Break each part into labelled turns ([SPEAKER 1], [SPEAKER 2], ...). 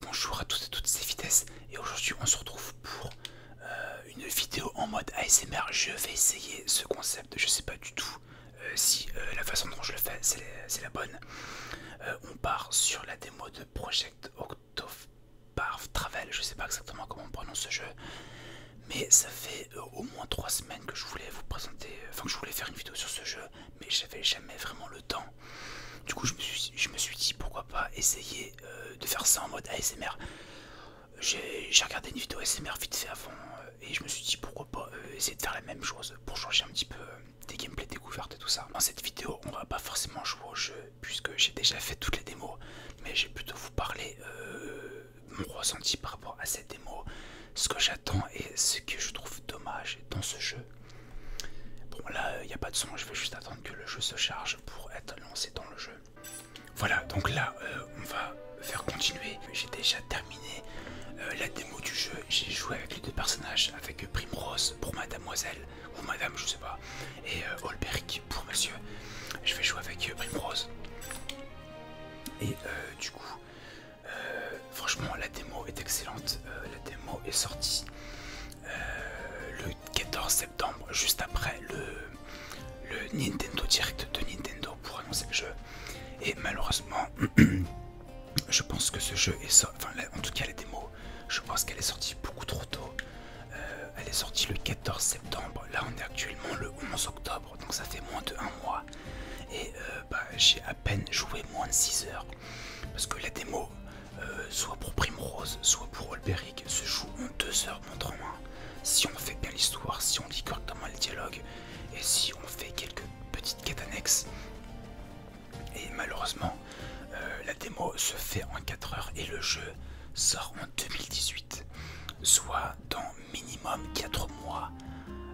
[SPEAKER 1] Bonjour à tous et toutes, ces vitesses et aujourd'hui on se retrouve pour euh, une vidéo en mode ASMR. Je vais essayer ce concept, je sais pas du tout euh, si euh, la façon dont je le fais c'est la bonne. on part sur la démo de Project October top Travel, je sais pas exactement comment on prononce ce jeu, mais ça fait euh, au moins 3 semaines que je voulais vous présenter, euh, enfin que je voulais faire une vidéo sur ce jeu, mais j'avais jamais vraiment le temps. Du coup, je me suis, je me suis dit pourquoi pas essayer euh, de faire ça en mode ASMR. J'ai regardé une vidéo ASMR vite fait avant et je me suis dit pourquoi pas essayer de faire la même chose pour changer un petit peu des gameplays découvertes et tout ça. Dans cette vidéo, on va pas forcément jouer au jeu puisque j'ai déjà fait toutes les démos, mais j'ai plutôt vous parler euh, mon ressenti par rapport à cette démo, ce que j'attends et ce que je trouve dommage dans ce jeu. Bon là, il n'y a pas de son, je vais juste attendre que le jeu se charge pour être lancé dans le jeu. Voilà, donc là, euh, on va faire continuer. J'ai déjà terminé euh, la démo du jeu. J'ai joué avec les deux personnages, avec Primrose pour Mademoiselle, ou Madame, je sais pas, et Holberg pour monsieur, je vais jouer avec euh, rose Et euh, du coup, euh, franchement, la démo est excellente. la démo est sortie le 14 septembre, juste après le, le Nintendo Direct de Nintendo pour annoncer le jeu. Et malheureusement, je pense que ce jeu est sorti. Enfin, en tout cas, la démo, je pense qu'elle est sortie beaucoup trop tôt. Euh, elle est sortie le 14 septembre. Là, on est actuellement le 11 octobre, donc ça fait moins de un mois. Et euh, bah, j'ai à peine joué moins de 6 heures. Parce que la démo, euh, soit pour Primrose, soit pour Olberic, se joue en 2 heures contre en Si on fait bien l'histoire, si on lit correctement le dialogue, et si on fait quelques petites quêtes annexes, et malheureusement, euh, la démo se fait en 4 heures et le jeu sort en 2018, soit dans minimum 4 mois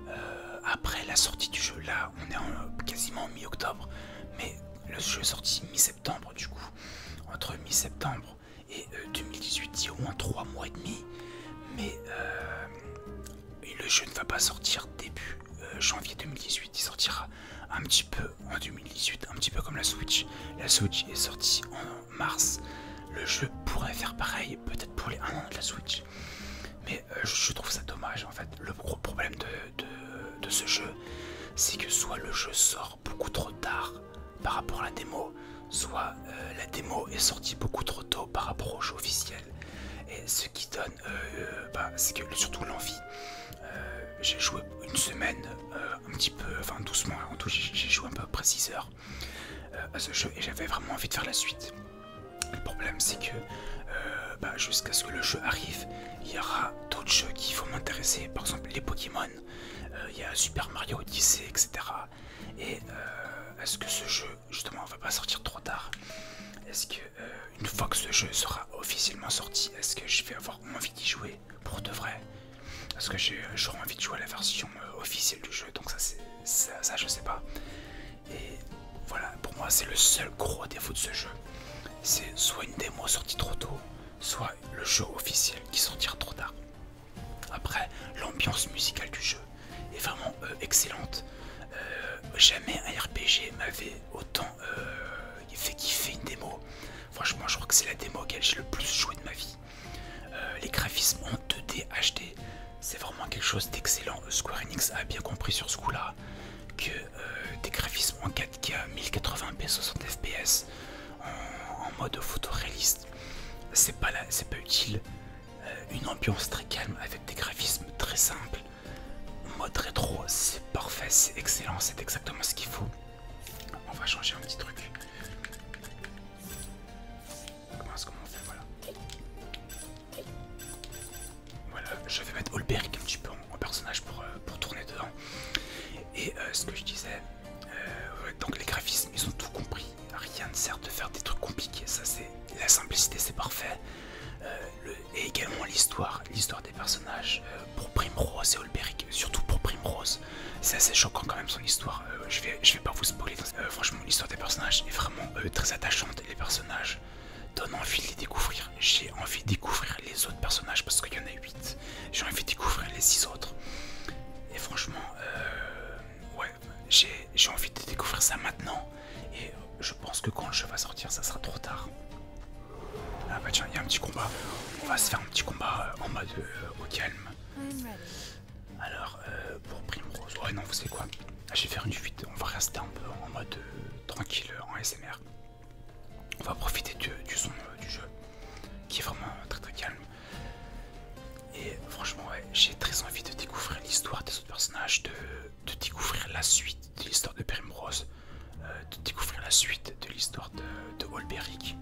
[SPEAKER 1] euh, après la sortie du jeu. Là, on est en, quasiment mi-octobre, mais le jeu est sorti mi-septembre du coup. Entre mi-septembre et 2018, euh, il y a au moins 3 mois et demi, mais le jeu ne va pas sortir début janvier 2018, il sortira un petit peu ah, en 2018, un petit peu comme la Switch. La Switch est sortie en mars. Le jeu pourrait faire pareil, peut-être pour les 1 an de la Switch. Mais euh, je trouve ça dommage en fait. Le gros problème de, ce jeu, c'est que soit le jeu sort beaucoup trop tard par rapport à la démo, soit euh, la démo est sortie beaucoup trop tôt par rapport au jeu officiel. Et ce qui donne, euh, bah, c'est que surtout l'envie euh, j'ai joué une semaine, euh, un petit peu, enfin doucement, en tout j'ai joué un peu près 6 heures euh, à ce jeu et j'avais vraiment envie de faire la suite. Le problème c'est que bah, jusqu'à ce que le jeu arrive, il y aura d'autres jeux qui vont m'intéresser, par exemple les Pokémon, il y a Super Mario Odyssey, etc. Et est-ce que ce jeu justement va pas sortir trop tard Est-ce que une fois que ce jeu sera officiellement sorti, est-ce que je vais avoir envie d'y jouer pour de vrai Parce que j'aurai envie de jouer à la version euh, officielle du jeu, donc ça, ça, ça je sais pas. Et voilà, pour moi c'est le seul gros défaut de ce jeu. C'est soit une démo sortie trop tôt, soit le jeu officiel qui sortira trop tard. Après, l'ambiance musicale du jeu est vraiment euh, excellente. Euh, jamais un RPG m'avait autant euh, il fait kiffer une démo. Franchement, je crois que c'est la démo auquel j'ai le plus joué de ma vie. Euh, les graphismes en 2D HD, c'est vraiment quelque chose d'excellent. Euh, Square Enix a bien compris sur ce coup-là que des graphismes en 4K, 1080p, 60fps, en, mode photoréaliste, c'est pas, c'est pas utile. une ambiance très calme avec des graphismes très simples Mode rétro, c'est parfait, c'est excellent, c'est exactement ce qu'il faut. On va changer un petit truc. Comment est-ce qu'on fait Voilà. Voilà, je vais mettre Olberic un petit peu en, personnage pour, euh, pour tourner dedans. Et euh, ce que je disais, euh, donc les graphismes, ils ont tout compris. Rien ne sert de faire des trucs compliqués, ça c'est la simplicité, c'est parfait. le, et également l'histoire, l'histoire des personnages euh, pour Primrose et Olberic, surtout pour Primrose. C'est assez choquant quand même son histoire, euh, je, vais, je vais pas vous spoiler, euh, franchement l'histoire des personnages est vraiment très attachante, les personnages donnent envie de les découvrir, j'ai envie de découvrir les autres personnages parce qu'il y en a 8, j'ai envie de découvrir les 6 autres. Et franchement, ouais, j'ai envie de découvrir ça maintenant et je pense que quand je vais sortir ça sera trop tard. Ah bah tiens, il y a un petit combat. On va se faire un petit combat euh, en mode euh, au calme. Alors, euh, pour Primrose... Ouais, non, vous savez quoi Je vais faire une fuite. On va rester un peu en mode tranquille, en SMR. On va profiter du, son du jeu, qui est vraiment très très calme. Et franchement, ouais, j'ai très envie de découvrir l'histoire des autres personnages, de découvrir la suite de l'histoire de Primrose, euh, de découvrir la suite de l'histoire de, de Holberic.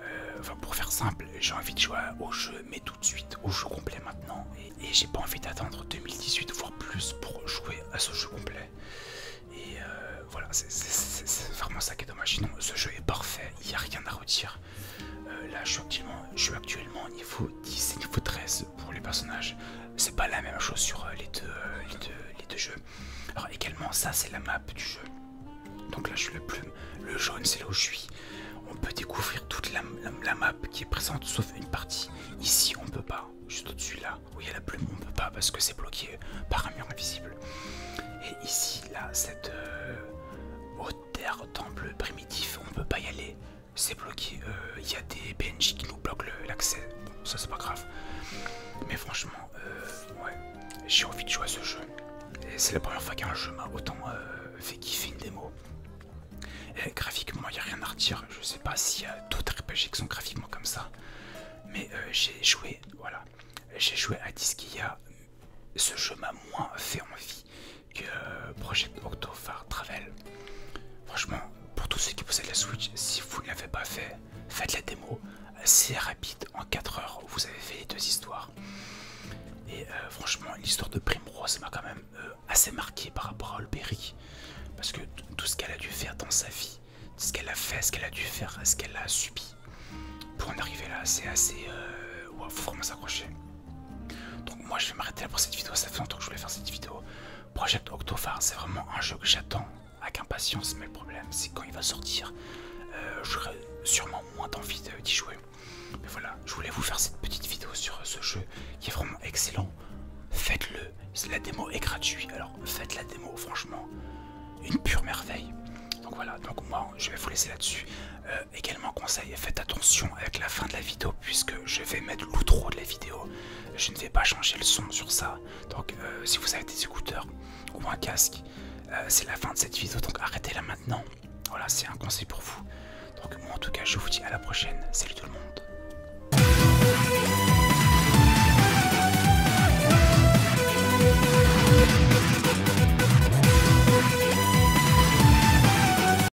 [SPEAKER 1] Euh, pour faire simple, j'ai envie de jouer au jeu, mais tout de suite, au jeu complet maintenant. Et, j'ai pas envie d'attendre 2018, voire plus, pour jouer à ce jeu complet. Et euh, voilà, c'est vraiment ça qui est dommage. ce jeu est parfait, il n'y a rien à redire. là, je suis actuellement, je suis actuellement niveau 10 et niveau 13 pour les personnages. C'est pas la même chose sur euh, euh, les deux, les deux, jeux. Alors également, ça c'est la map du jeu. Donc là, je suis le plume. Le jaune, c'est là où je suis. On peut découvrir toute la, map qui est présente, sauf une partie. Ici, on peut pas. Juste au-dessus là, où il y a la plume, on peut pas parce que c'est bloqué par un mur invisible. Et ici, là, cette hauteur haute terre temple primitif, on peut pas y aller c'est bloqué. Il euh, y a des PNJ qui nous bloquent l'accès. ça c'est pas grave. Mais franchement, euh, ouais, j'ai envie de jouer à ce jeu. Et c'est la première fois qu'un jeu m'a autant euh, fait kiffer une démo. graphiquement, il n'y a rien à redire. Je sais pas s'il y a d'autres RPG qui sont graphiquement comme ça. Mais j'ai joué, voilà, j'ai joué à Disquia, Ce jeu m'a moins fait envie que euh, Project Octofar Travel. Franchement, pour tous ceux qui possèdent la Switch, si vous ne l'avez pas fait, faites la démo. C'est rapide, en 4 heures, vous avez fait les deux histoires. Et euh, franchement, l'histoire de Primrose m'a quand même euh, assez marqué par rapport à Olberry. Parce que tout ce qu'elle a dû faire dans sa vie, ce qu'elle a fait, ce qu'elle a dû faire, ce qu'elle a subi pour en arriver là, c'est assez. Euh, faut vraiment s'accrocher. Donc moi je vais m'arrêter là pour cette vidéo, ça fait longtemps que je voulais faire cette vidéo. Project octophare c'est vraiment un jeu que j'attends avec impatience, mais le problème c'est quand il va sortir, euh, j'aurai sûrement moins d'envie d'y jouer. Mais voilà, je voulais vous faire cette petite vidéo sur ce jeu qui est vraiment excellent. Faites-le, la démo est gratuite, alors faites la démo, franchement, une pure merveille. Donc voilà, donc moi je vais vous laisser là-dessus. Euh, également conseil, faites attention avec la fin de la vidéo puisque je vais mettre l'outro de la vidéo. Je ne vais pas changer le son sur ça. Donc euh, si vous avez des écouteurs ou un casque, euh, c'est la fin de cette vidéo. Donc arrêtez-la maintenant. Voilà, c'est un conseil pour vous. Donc moi en tout cas, je vous dis à la prochaine. Salut tout le monde.